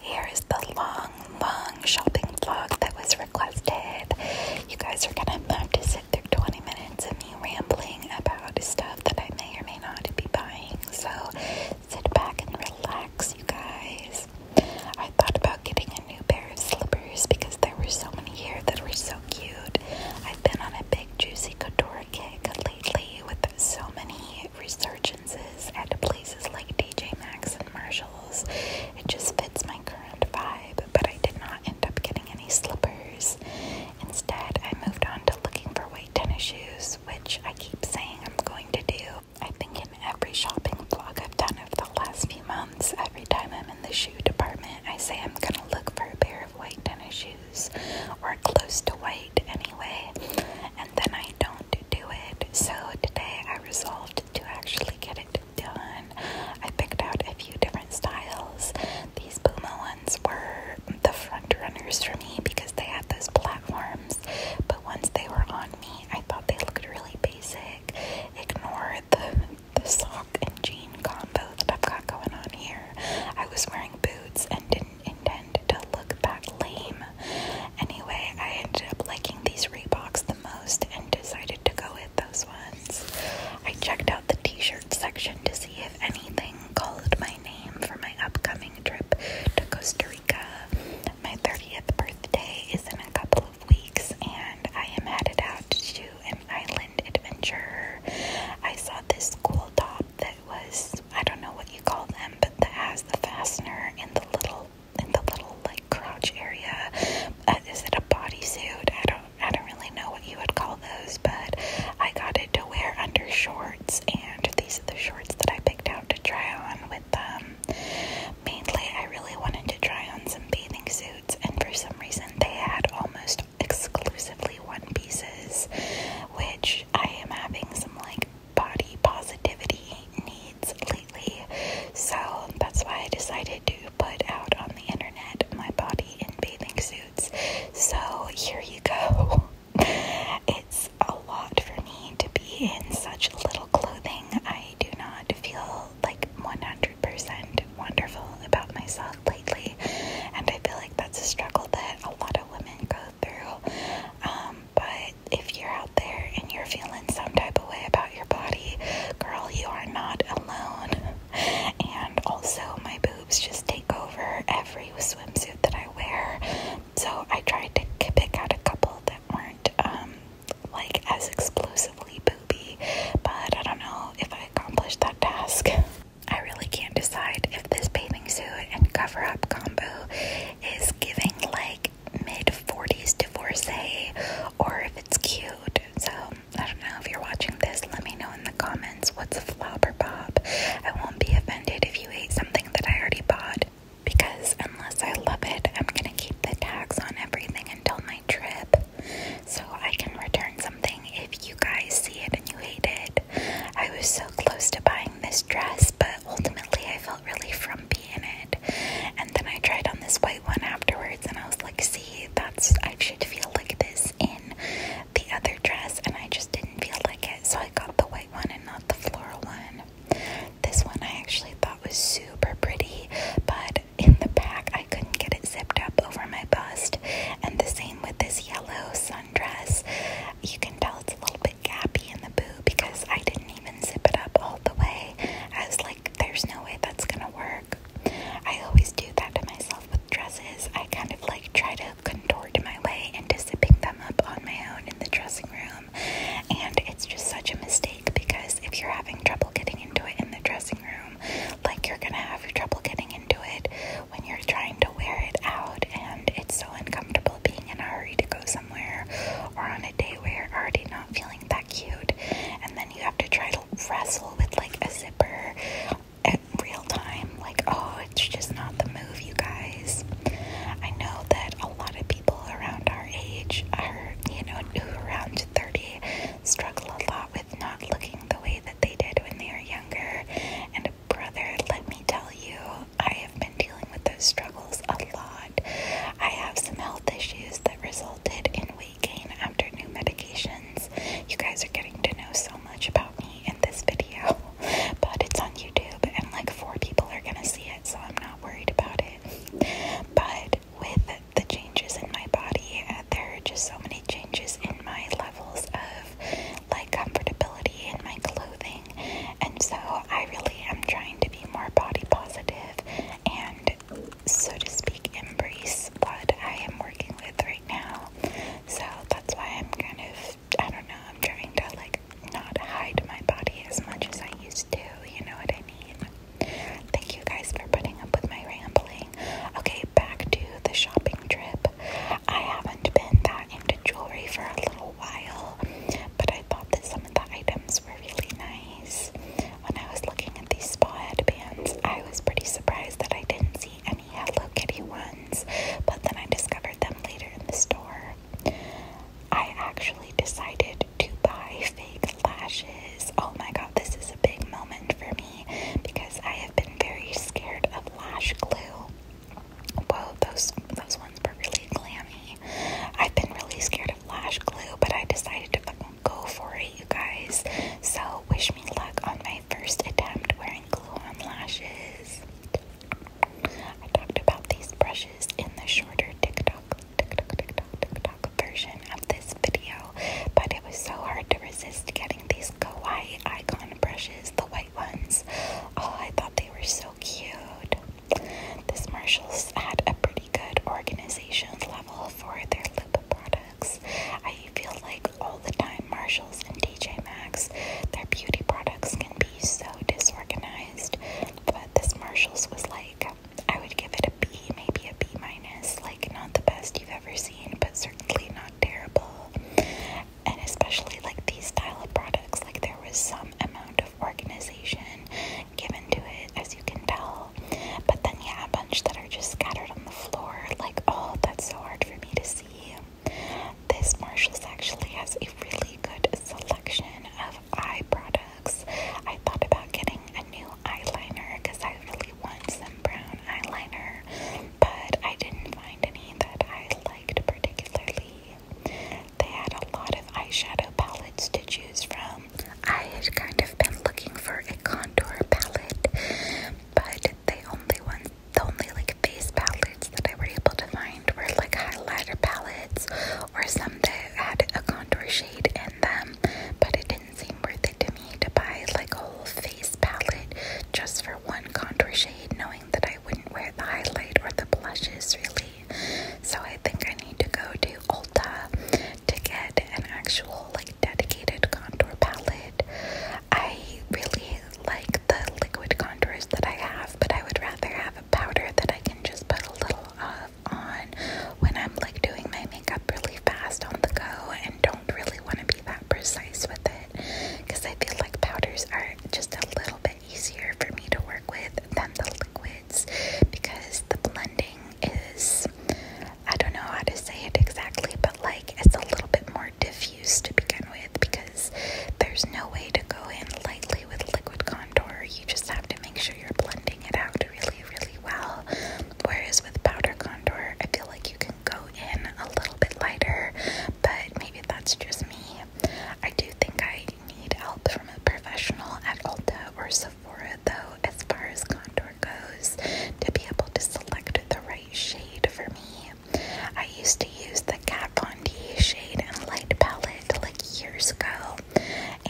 Here is the long, long shopping vlog that was requested. You guys are gonna have to sit through 20 minutes of me rambling about stuff that I may or may not be buying. So sit back and relax, you guys. I thought about getting a new pair of slippers because there were so many here that were so cute. I've been on a big juicy couture kick lately with so many resurgences at places like DJ Max and Marshalls. It just fits my current vibe, but I did not end up getting any slippers. Instead, I moved on to looking for white tennis shoes, which I keep saying I'm going to do. I think in every shopping vlog I've done over the last few months, every time I'm in the shoe department, I say I'm gonna look for a pair of white tennis shoes or close to white anyway and then I don't do it. So today I resolved to actually get it done. I picked out a few different styles. These Puma ones were the front runners for me because they had those platforms, but once they were on me, I thought they looked really basic. Ignore the, the sock and jean combo that I've got going on here. I was wearing boots and didn't intend to look that lame, Anyway, I ended up liking these Reeboks the most and decided to go with those ones. I checked out the t shirt section to see if anything called my name for my upcoming trip to Costa Rica. My 30th birthday is in a couple of weeks, and I am headed out to an island adventure. I saw this cool top that was, I don't know what you call them, but that has the fastener and the little in the little like crotch area. Uh, is it a bodysuit? I don't I don't really know what you would call those, but I got it to wear under shorts, and these are the shorts that I picked out to try on with them. Um, mainly, I really wanted to try on some bathing suits, and for some reason, they had almost exclusively one pieces, which I am having some like body positivity needs lately. So that's why I decided to put out on the internet my body in bathing suits. So here you go. It's a lot for me to be in such little clothing. I do not feel like 100% wonderful about myself lately, and I feel like that's a struggle that a lot of women go through. Um, but if you're out there and you're feeling some type of way about your body, girl, you are not alone. And also, my boobs just take over every swimsuit that I wear. So I tried to pick out a couple that weren't um, like as explosively booby, but I don't know if I accomplished that task. I really can't decide if this bathing suit and cover up combo is giving like mid 40s divorcee or if it's cute. So I don't know if you're watching this, let me know in the comments what's a flop or pop. I won't be offended if you ate something that I already bought because unless I love it, I'm gonna keep the tags on everything until my trip. So I can return something if you guys see it and you hate it. I was so close to buying this dress, but ultimately I felt really frumpy and then I tried on this white one afterwards, and I was like, see, that's I should feel like this in the other dress, and I just didn't feel like it, so I got the white one and not the floral one. This one I actually thought was super pretty, but in the back I couldn't get it zipped up over my bust. And the same with this yellow sundress. You can tell it's a little bit gappy in the boo because I didn't even zip it up all the way. As like, there's no way that's gonna work. I always do that to myself with dresses. I kind of like try to contort my way into zipping them up on my own in the dressing room. And it's just such a mistake because if you're having trouble getting into it in the dressing room, like you're gonna have trouble getting into it when you're trying to wear it out, and it's so uncomfortable being in a hurry to go somewhere or on a day where already not feeling that cute, and then you have to try to wrestle with like a zipper at real time. Like, oh, it's just not the move, you guys. I know that a lot of people around our age are, you know, around 30 struggle a lot with not looking the way that they did when they were younger. And brother, let me tell you, I have been dealing with those struggles a lot. I have some health issues that resulted in weight gain after new medications. You guys are getting to know so much about me in this video, but it's on YouTube and like four people are gonna see it, so I'm not worried about it. But with the changes in my body, uh, there are just so many changes in my levels of like comfortability in my clothing and so I really am trying to be more body positive and, so to speak, embrace what I am working with right now. So that's why I'm kind of, I don't know, I'm trying to like not hide my body as much as I used to. You know what I mean? Thank you guys for putting up with my rambling. Okay, back to the shopping trip. I haven't been that into jewelry for a little while, but I thought that some of the items were really nice. When I was looking at these spa headbands, I was pretty surprised that I didn't see any Hello Kitty ones, but then I discovered them later in the store. I actually decided to buy fake lashes. Oh my god, this is a big moment for me because I have been very scared of lash glue. Whoa, those those were really clammy. I've been really scared of lash glue, but I decided to fucking go for it, you guys. So, wish me luck on my first attempt wearing glue on lashes. I talked about these brushes in the shorter TikTok, TikTok, TikTok, TikTok version of this video, but it was so hard to resist getting these kawaii icon brushes, the white ones. Oh, I thought they were so cute. This Marshall's had a pretty good organization level for their lip products. I feel like all the time Marshalls and DJ Maxx, their beauty products can be so disorganized. But this Marshalls was like, I would give it a B, maybe a B minus. Like not the best you've ever seen, but certainly not terrible. And especially like these style of products, like there was some amount of organization given to it, as you can tell. But then, yeah, a bunch that are just scattered on the floor. Like, oh, that's so hard for me to see. This Marshalls actually has a really good selection of eye products. I thought about getting a new eyeliner because I really want some brown eyeliner, but I didn't find any that I liked particularly. They had a lot of eyeshadow palettes to choose from. I had kind of been looking for a contour palette, but the only one, the only like face palettes that I were able to find were like highlighter palettes or some that had a contour shade in them, but it didn't seem worth it to me to buy like a whole face palette just for one contour shade, knowing that I wouldn't wear the highlight or the blushes really. So I think I need to go to Ulta to get an actual like dedicated contour palette. I really like the liquid contours that I have, but I would rather have a powder that I can just put a little of on when I'm like doing my makeup really fast on the go and don't really want to be that precise with it because I feel like powders are just a little bit easier for me to work with than the liquids because the blending is, I don't know how to say it exactly, but like it's a little bit more diffuse to begin with because there's no way to go in lightly with liquid contour. You just have to make sure you're blending it out really, really well. Whereas with powder contour, I feel like you can go in a little bit lighter, but maybe that's just me. I do think I I need help from a professional at Ulta or Sephora, though, as far as contour goes, to be able to select the right shade for me. I used to use the Kat Von D shade and light palette like years ago,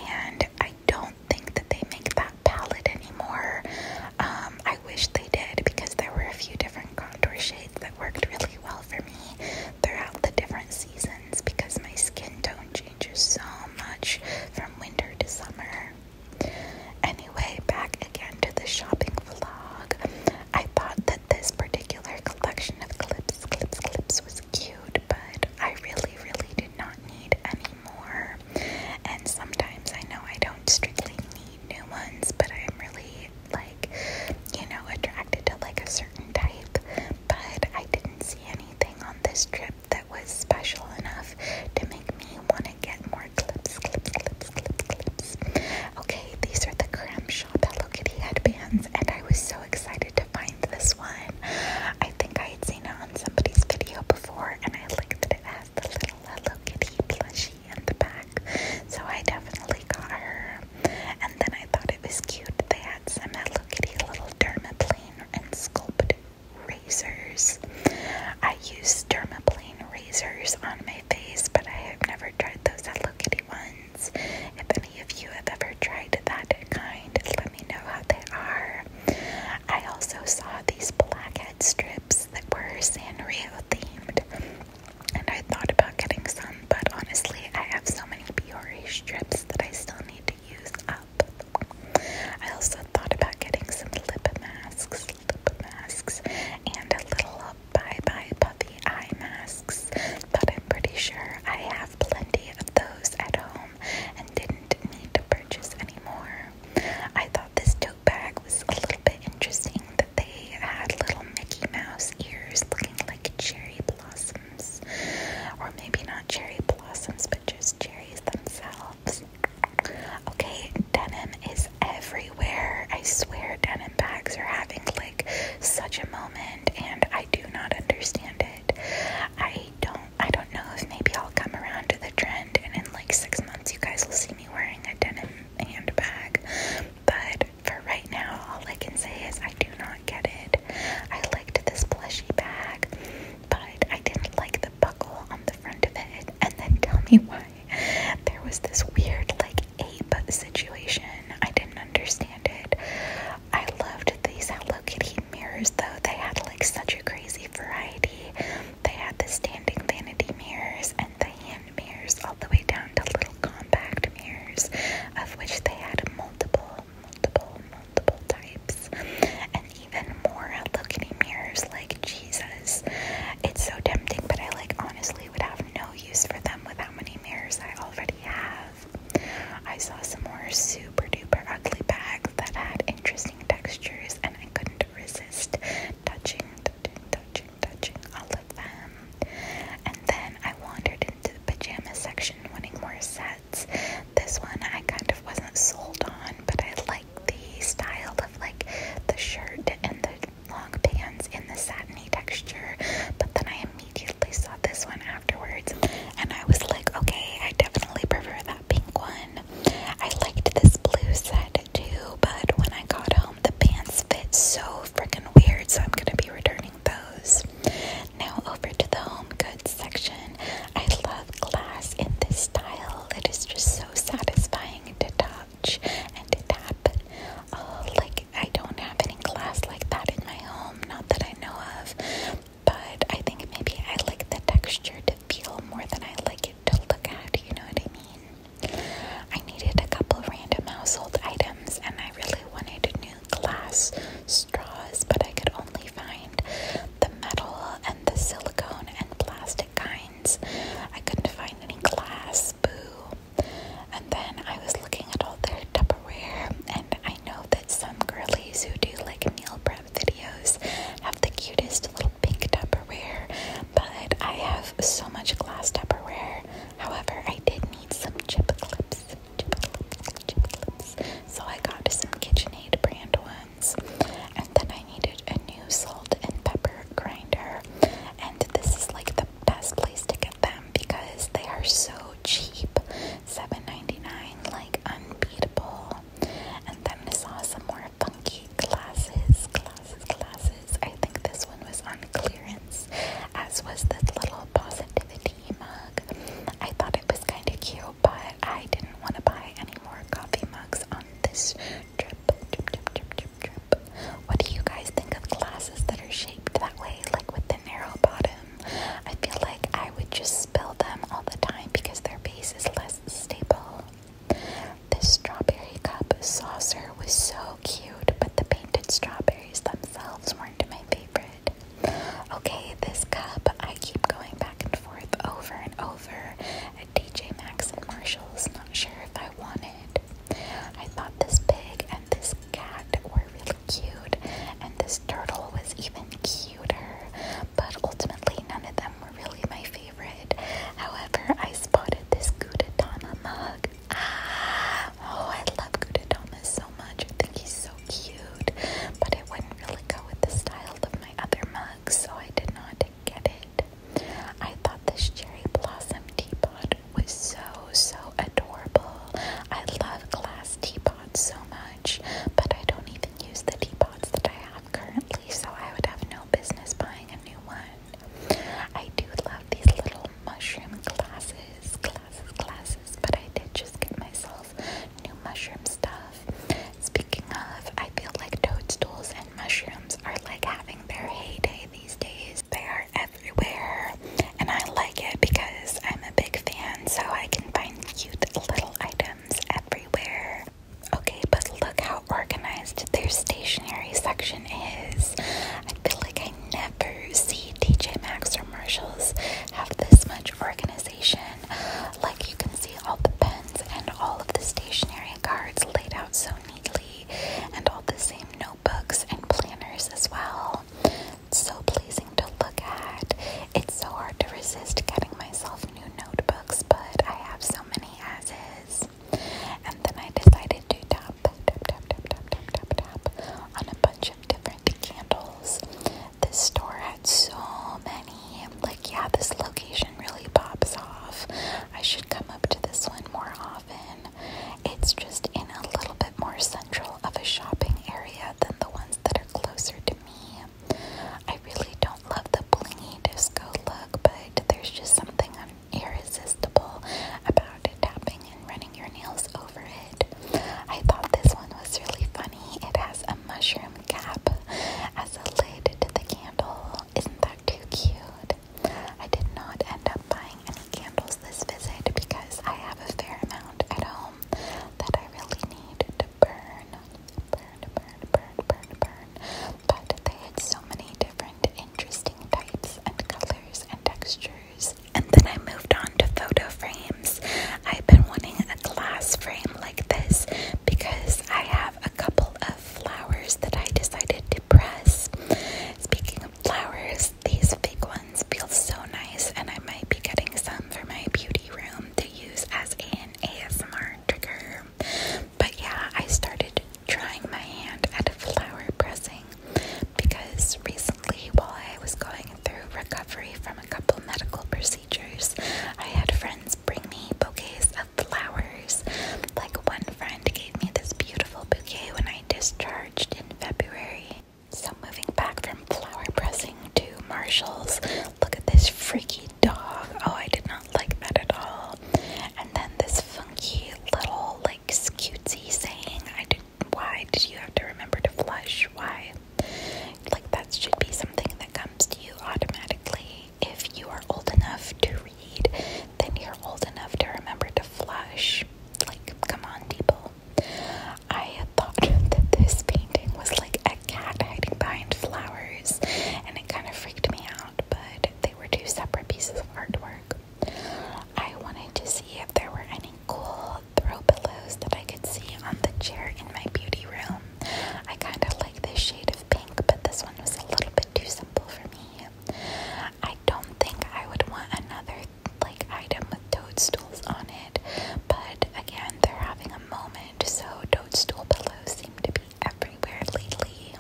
and I don't think that they make that palette anymore. Um, I wish they did because there were a few different contour shades that worked really well for me throughout the different seasons because my skin tone changes so much from winter to summer. Anyway, back again to the shopping vlog. I thought that this particular collection of clips, clips, clips was cute, but I really, really did not need any more. And sometimes I know I don't strictly need new ones, but I'm really like, you know, attracted to like a certain type but I didn't see anything on this trip that was special enough to make me want to get more clips, clips, clips, clips, clips. Okay, these are the Cram Shop Hello Kitty headbands, and I was so excited to find this one. I think I had seen it on somebody's video before, and I liked that it has the little Hello Kitty plushie in the back, so I definitely got her. And then I thought it was cute. They had some Hello lookity little dermaplane and sculpt razors. I use dermaplane razors on my face, but I have never tried those Hello Kitty ones. If any of you have ever tried that kind, let me know how they are. I also saw these blackhead strips that were Sanrio themed, and I thought about getting some, but honestly, I have so many Biore strips that I still need to used up. I also thought about getting some lip masks, lip masks, and a little bye bye puffy eye masks, but I'm pretty sure I have plenty of those at home and didn't need to purchase any more. I thought this tote bag was a little bit interesting that they had little Mickey Mouse ears looking like cherry blossoms or maybe not cherry blossoms, but just cherries themselves. Okay, denim is everywhere. I swear, denim bags are having like such a moment, and I do not understand it. I don't. I don't know if maybe I'll come around to the trend, and in like six months, you guys will see me wearing a denim handbag. But for right now, all I can say is I do not get it. I liked this plushy bag, but I didn't like the buckle on the front of it. And then tell me why there was this weird, like, ape situation. I didn't understand it. I loved these Hello Kitty mirrors, though. They had, like, such a crazy variety. They had the standing vanity mirrors and the hand mirrors, all the way down to little compact mirrors, of which they had multiple multiple, multiple types, and even more look-in mirrors like Jesus. It's so tempting, but I like honestly would have no use for them with how many mirrors I already have. I saw some more super duper ugly bags that had interesting textures, and I couldn't resist touching, touching, touching, touching all of them. And then I wandered into the pajama section wanting more sets. This one I kind of wasn't sold on, but I like the style of like the shirt and the long pants in the satiny texture. But then I immediately saw this one afterwards and I was like, okay, I definitely prefer that pink one. I liked this blue set too, but when I got home, the pants fit so freaking weird, so I'm gonna be returning those. Now over to the home goods section. I love glass in this style. It is just so satisfying to touch and to tap. Oh, like I don't have any glass like that in my home, not that I know of. But I think maybe I like the texture to feel more than I like it to look at. You know what I mean? I needed a couple random household items, and I really wanted a new glass straws, but I could only find the metal and the silicone and plastic kinds. I couldn't find any glass, boo. And then I was looking at all their Tupperware, and I know that some girlies who do like nail prep videos have the cutest little pink Tupperware, but I have so much glass Tupperware. However, I did need some chip clips. So I got some KitchenAid brand ones. And then I needed a new salt and pepper grinder. And this is like the best place to get them because they are so cheap. seven ninety nine, like unbeatable. And then I saw some more funky glasses, glasses, glasses. I think this one was on clearance, as was this little positivity mug. I thought it was kind of cute, but I didn't want to buy any more coffee mugs on this trip. Trip, trip, trip, trip, trip. What do you guys think of glasses that are shaped that way, like with the narrow bottom? I feel like I would just spill them all the time because their base is less stable. This strawberry cup saucer was so cute, but the painted strawberries themselves were to my favorite. Okay, this cup I keep going back and forth over and over at DJ Max and Marshalls. Not sure if I want it. I thought this pig and this cat were really cute, and this turtle was even cuter, but ultimately none of them were really my favorite. However, I spotted this Gudetama mug. Ah, oh, I love Gudetama so much. I think he's so cute, but it wouldn't really go with the style of my other mugs, so I did not get it. I thought this cherry blossom teapot was so, so adorable. I love glass teapots so much, but I don't even use the teapots that I have currently, so I would have no business buying a new one. I do love these little mushroom glasses, glasses, glasses, but I did just get myself new mushroom stuff. Speaking of, I feel like toadstools and mushrooms are like having their heyday these days. They are everywhere, and I like it because I'm a big fan, so I can find cute little items everywhere. Okay, but look how organized their stationery section is. I feel like I never see TJ Maxx or Marshalls have this much organization. Like you can see all the pens and all of the stationery cards laid out so neatly, and all the same notebooks and planners as well. It's so pleasing to look at. It's so hard to resist getting myself new notebooks, but I have so many as is. And then I decided to tap, tap, tap, tap, tap, tap, tap on a bunch of different candles. This store had so many. Like, yeah, this location really pops off. I should come up to this one more often. It's just in a little bit more central of a shopping area than the ones that are closer to me. I really don't love the blingy disco look, but there's just something irresistible about it tapping and running your nails over it. I thought this one was really funny. It has a mushroom cap as a lid to the candle. Isn't that too cute? I did not end up buying any candles this visit because I have a fair amount at home that I really need to burn. Burn, burn, burn, burn, burn. But they had so many different interesting types and colors and textures and then I moved on to photo frames. I've been wanting a glass frame like this because I have a couple of flowers that I decided to press. Speaking of flowers, these big ones feel so nice, and I might be getting some for my beauty room to use as an ASMR trigger. But yeah, I started trying my hand at flower pressing because recently, while I was going through recovery from a couple medical procedures, I had friends bring me bouquets of flowers. Like one friend gave me this beautiful bouquet when I discharged in February. So, moving back from flower pressing to Marshall's, look at this freaky dog. Oh, I did not like that at all. And then this funky little, like, cutesy saying. I do why did you have to remember to flush? Why? Like that should be something that comes to you automatically. If you are old enough to read, then you're old enough to remember to flush. Like, come on, people. I had thought that this painting was like a cat hiding behind flowers, and it kind of freaked me out, but they were two separate pieces of artwork. I wanted to see if there were any cool throw pillows that I could see on the chair in my beauty room. I kind of like this shade of pink, but this one was a little bit too simple for me. I don't think I would want another like item with toadstools on it, but again, they're having a moment, so toadstool pillows seem to be everywhere lately,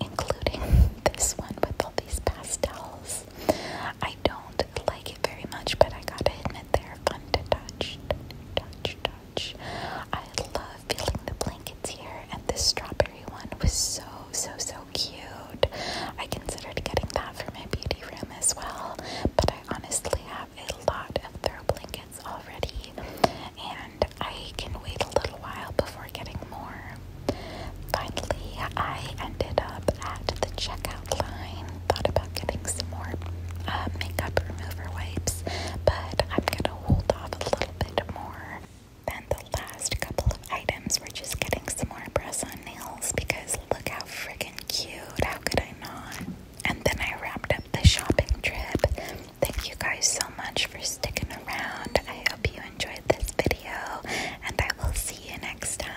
including this one with all these pastels. I don't I don't like it very much, but I gotta admit they're fun to touch, touch, touch. I love feeling the blankets here, and this strawberry one was so, so, so cute. I considered getting that for my beauty room as well, but I honestly have a lot of throw blankets already, and I can wait a little while before getting more. Finally, I ended up at the checkout line thought about getting some more uh, makeup remover wipes, but I'm gonna hold off a little bit more than the last couple of items. We're just getting some more press on nails because look how freaking cute! How could I not? And then I wrapped up the shopping trip. Thank you guys so much for sticking around. I hope you enjoyed this video, and I will see you next time.